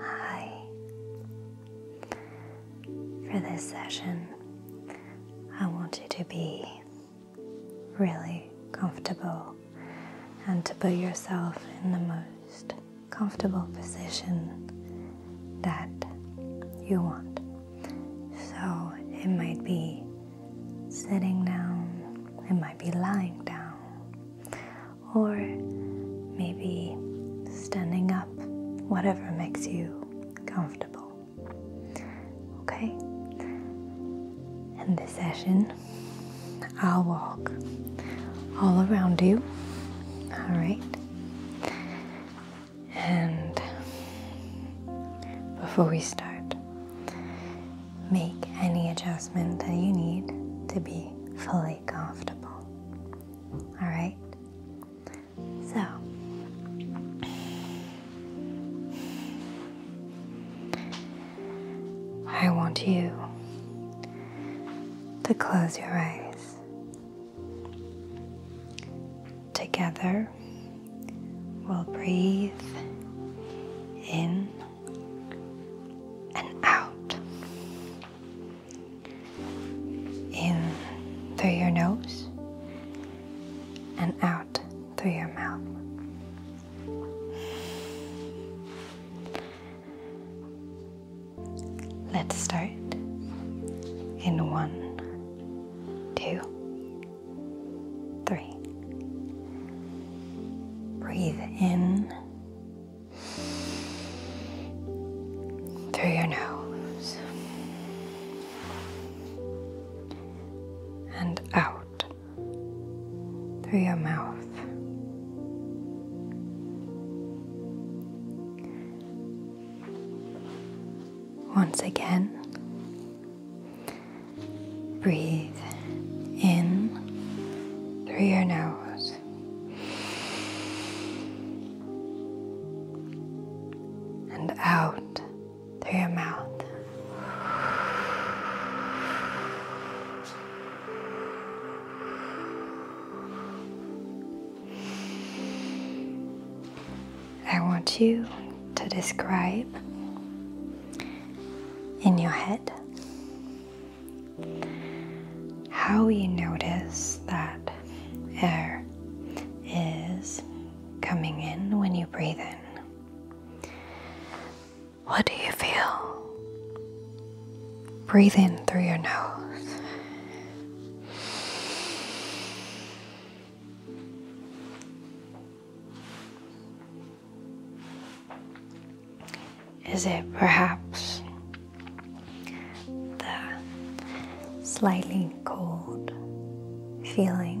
Hi. For this session, I want you to be really comfortable and to put yourself in the most comfortable position that you want. So it might be sitting down, it might be lying down, or maybe standing up, whatever makes you comfortable. Okay? In this session, I'll walk all around you, alright? And before we start, make any adjustment that you need to be fully comfortable. All right? So, I want you to close your eyes. Together, we'll breathe in and out in through your nose and out through your mouth. Let's start in one, two, three. Breathe in through your nose and out through your mouth. Once again, Breathe in through your nose. And out through your mouth. I want you to describe in your head how you notice that air is coming in when you breathe in. What do you feel? Breathe in through your nose. Is it perhaps the slightly cold feeling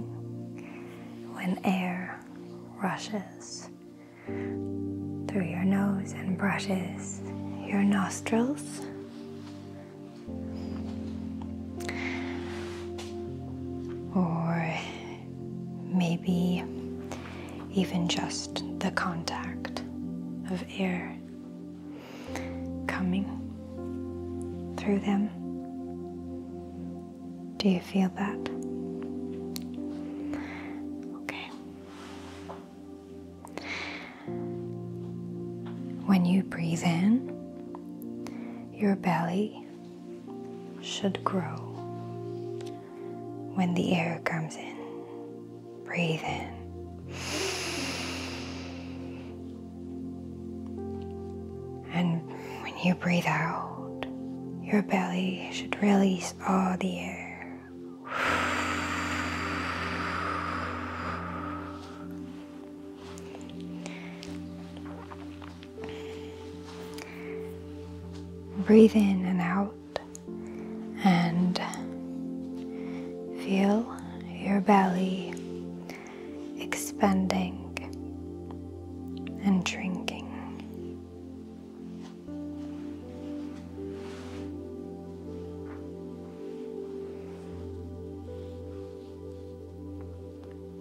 when air rushes through your nose and brushes your nostrils? Or maybe even just the contact of air coming through them. Do you feel that? Okay. When you breathe in, your belly should grow when the air comes in. Breathe in. And when you breathe out, your belly should release all the air. Breathe in and out and feel your belly expanding and shrinking.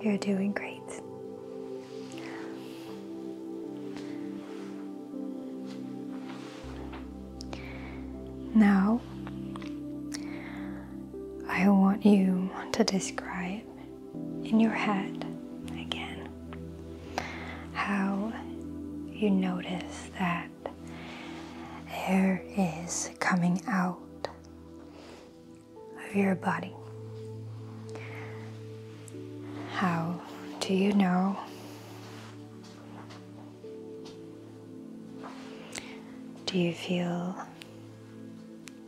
You're doing great. Now, I want you to describe in your head again how you notice that air is coming out of your body. How do you know? Do you feel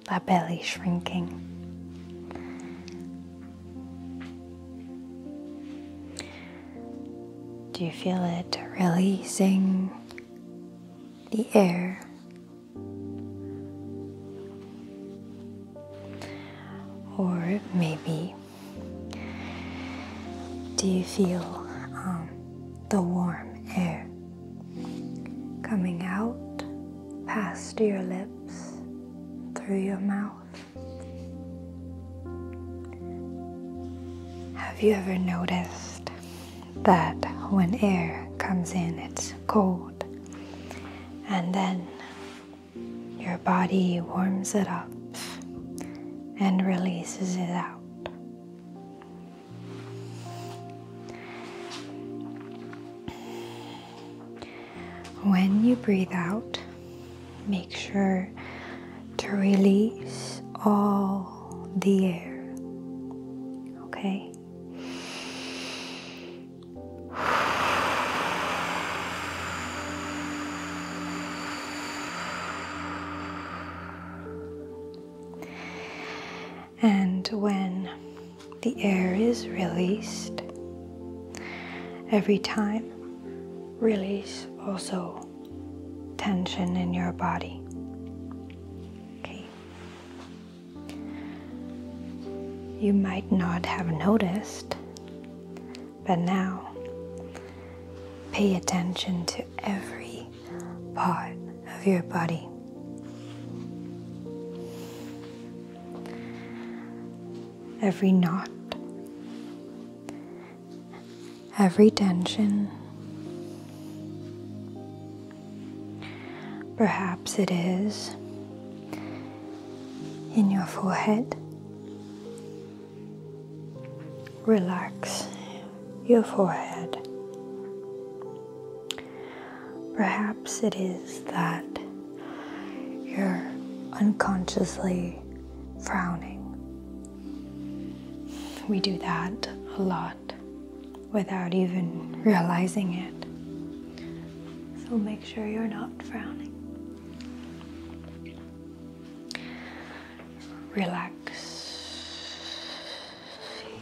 that belly shrinking? Do you feel it releasing the air or maybe, do you feel um, the warm air coming out past your lips, through your mouth? Have you ever noticed that when air comes in, it's cold. And then your body warms it up and releases it out. When you breathe out, make sure to release all the air. Okay? And when the air is released, every time release also tension in your body. Okay. You might not have noticed, but now pay attention to every part of your body. Every knot, every tension, Perhaps it is in your forehead. Relax your forehead. Perhaps it is that you're unconsciously frowning. We do that a lot without even realizing it. So make sure you're not frowning. Relax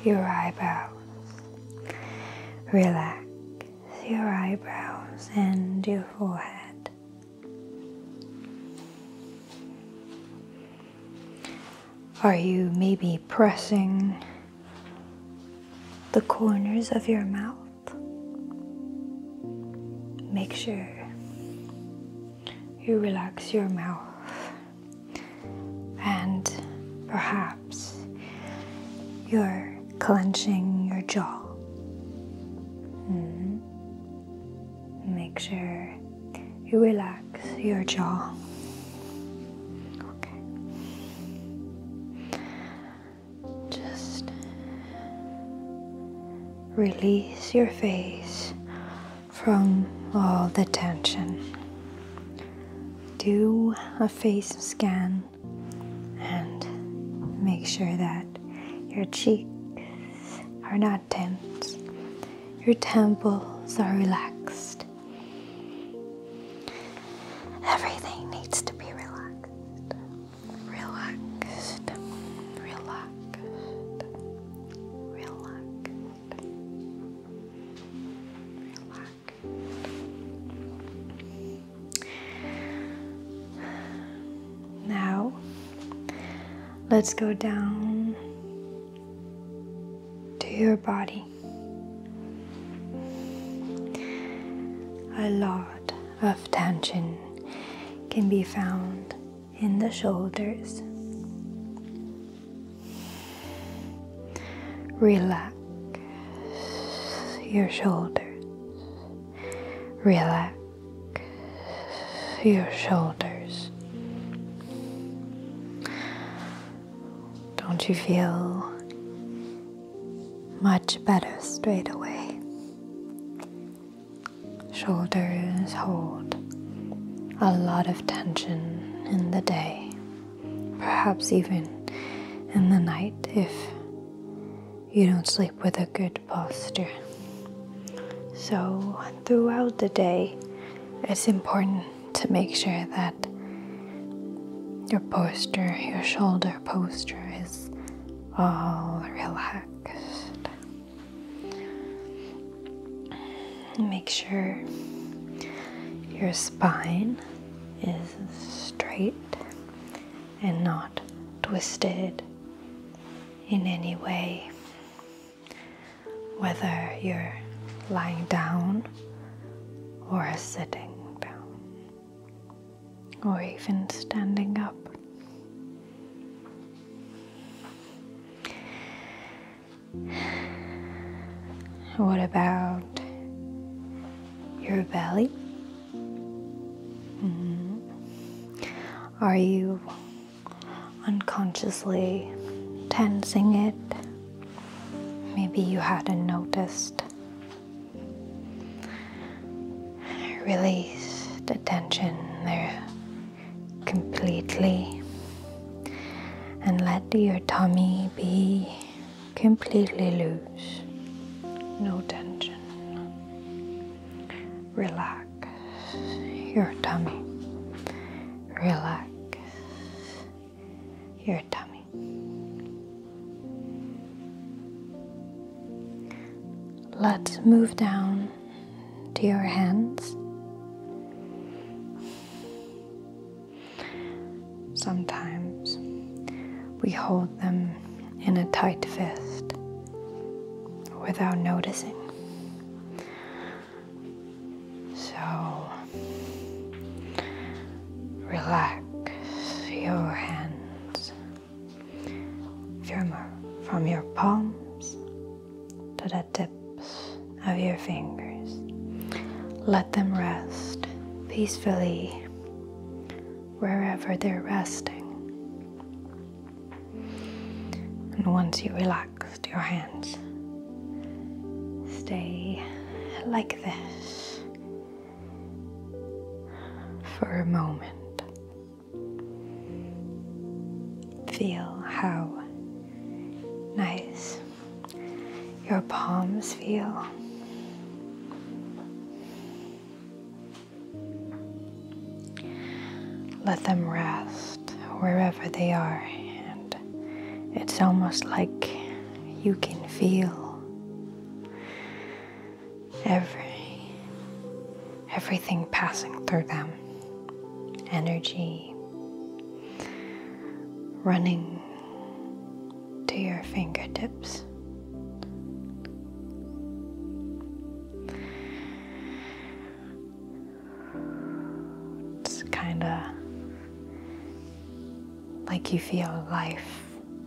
your eyebrows. Relax your eyebrows and your forehead. Are you maybe pressing the corners of your mouth? Make sure you relax your mouth and perhaps you're clenching your jaw. -hmm. Make sure you relax your jaw. Just release your face from all the tension. Do a face scan and make sure that your cheeks are not tense your temples are relaxed. Everything needs to be relaxed. Relaxed. Relaxed. Relaxed. Relaxed. Now, let's go down to your body. A lot of tension can be found in the shoulders. Relax your shoulders. Relax your shoulders. Don't you feel much better straight away? Shoulders hold a lot of tension in the day, perhaps even in the night if you don't sleep with a good posture. So, throughout the day, it's important to make sure that your posture, your shoulder posture is all relaxed. Make sure your spine is straight and not twisted in any way whether you're lying down or sitting down or even standing up. What about your belly? Mm-hmm. Are you unconsciously tensing it. Maybe you hadn't noticed. Release the tension there completely and let your tummy be completely loose. No tension. Relax. You're a dummy. Relax You're a dummy. Let's move down to your hands. Sometimes we hold them in a tight fist without noticing. So relax your hands from your palms to the tips of your fingers. Let them rest peacefully wherever they're resting. And once you relaxed your hands, stay like this for a moment. Feel how nice your palms feel. Let them rest wherever they are, and it's almost like you can feel every everything passing through them. Energy running to your fingertips. It's kind of like you feel life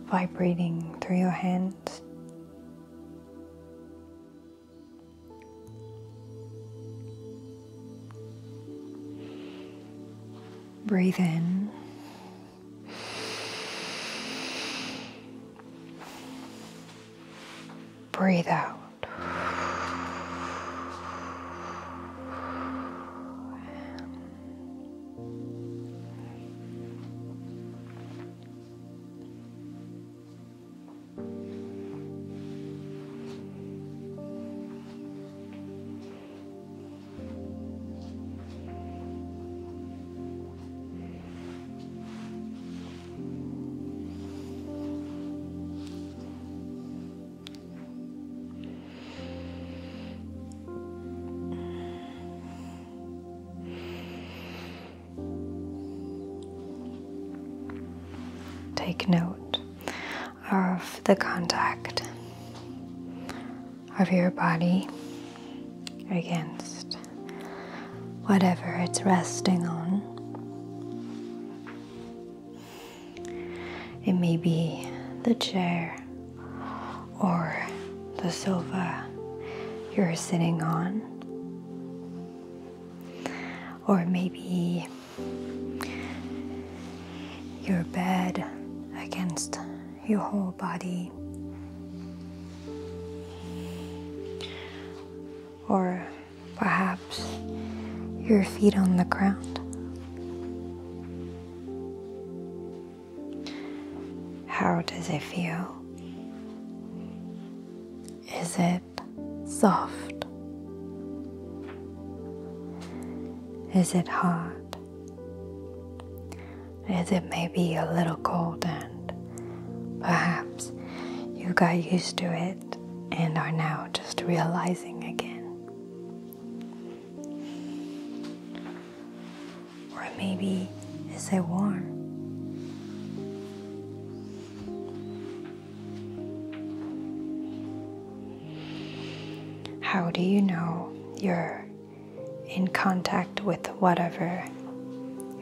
vibrating through your hands. Breathe in. Breathe out. Take note of the contact of your body against whatever it's resting on. It may be the chair or the sofa you're sitting on, or maybe your bed against your whole body, or perhaps your feet on the ground. How does it feel? Is it soft? Is it hard? Is it maybe a little cold and Perhaps you got used to it and are now just realizing again. Or maybe it's a warm? How do you know you're in contact with whatever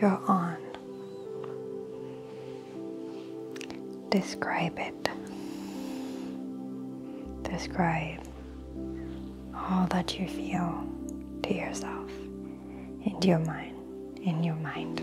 you're on? Describe it. Describe all that you feel to yourself, in your mind, in your mind.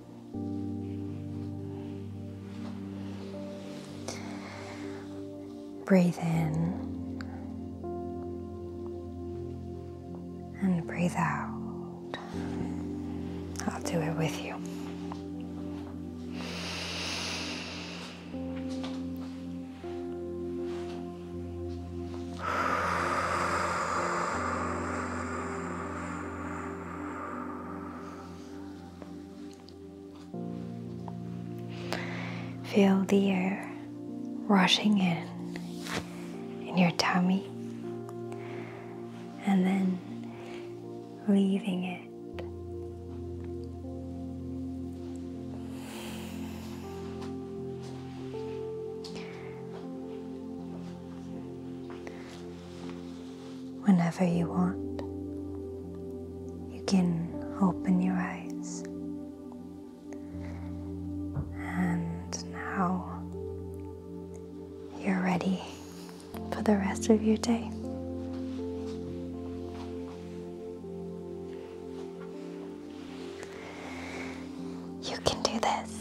Breathe in and breathe out. I'll do it with you. Feel the air rushing in in your tummy and then leaving it. Whenever you want, you can open your eyes. And now you're ready for the rest of your day. You can do this.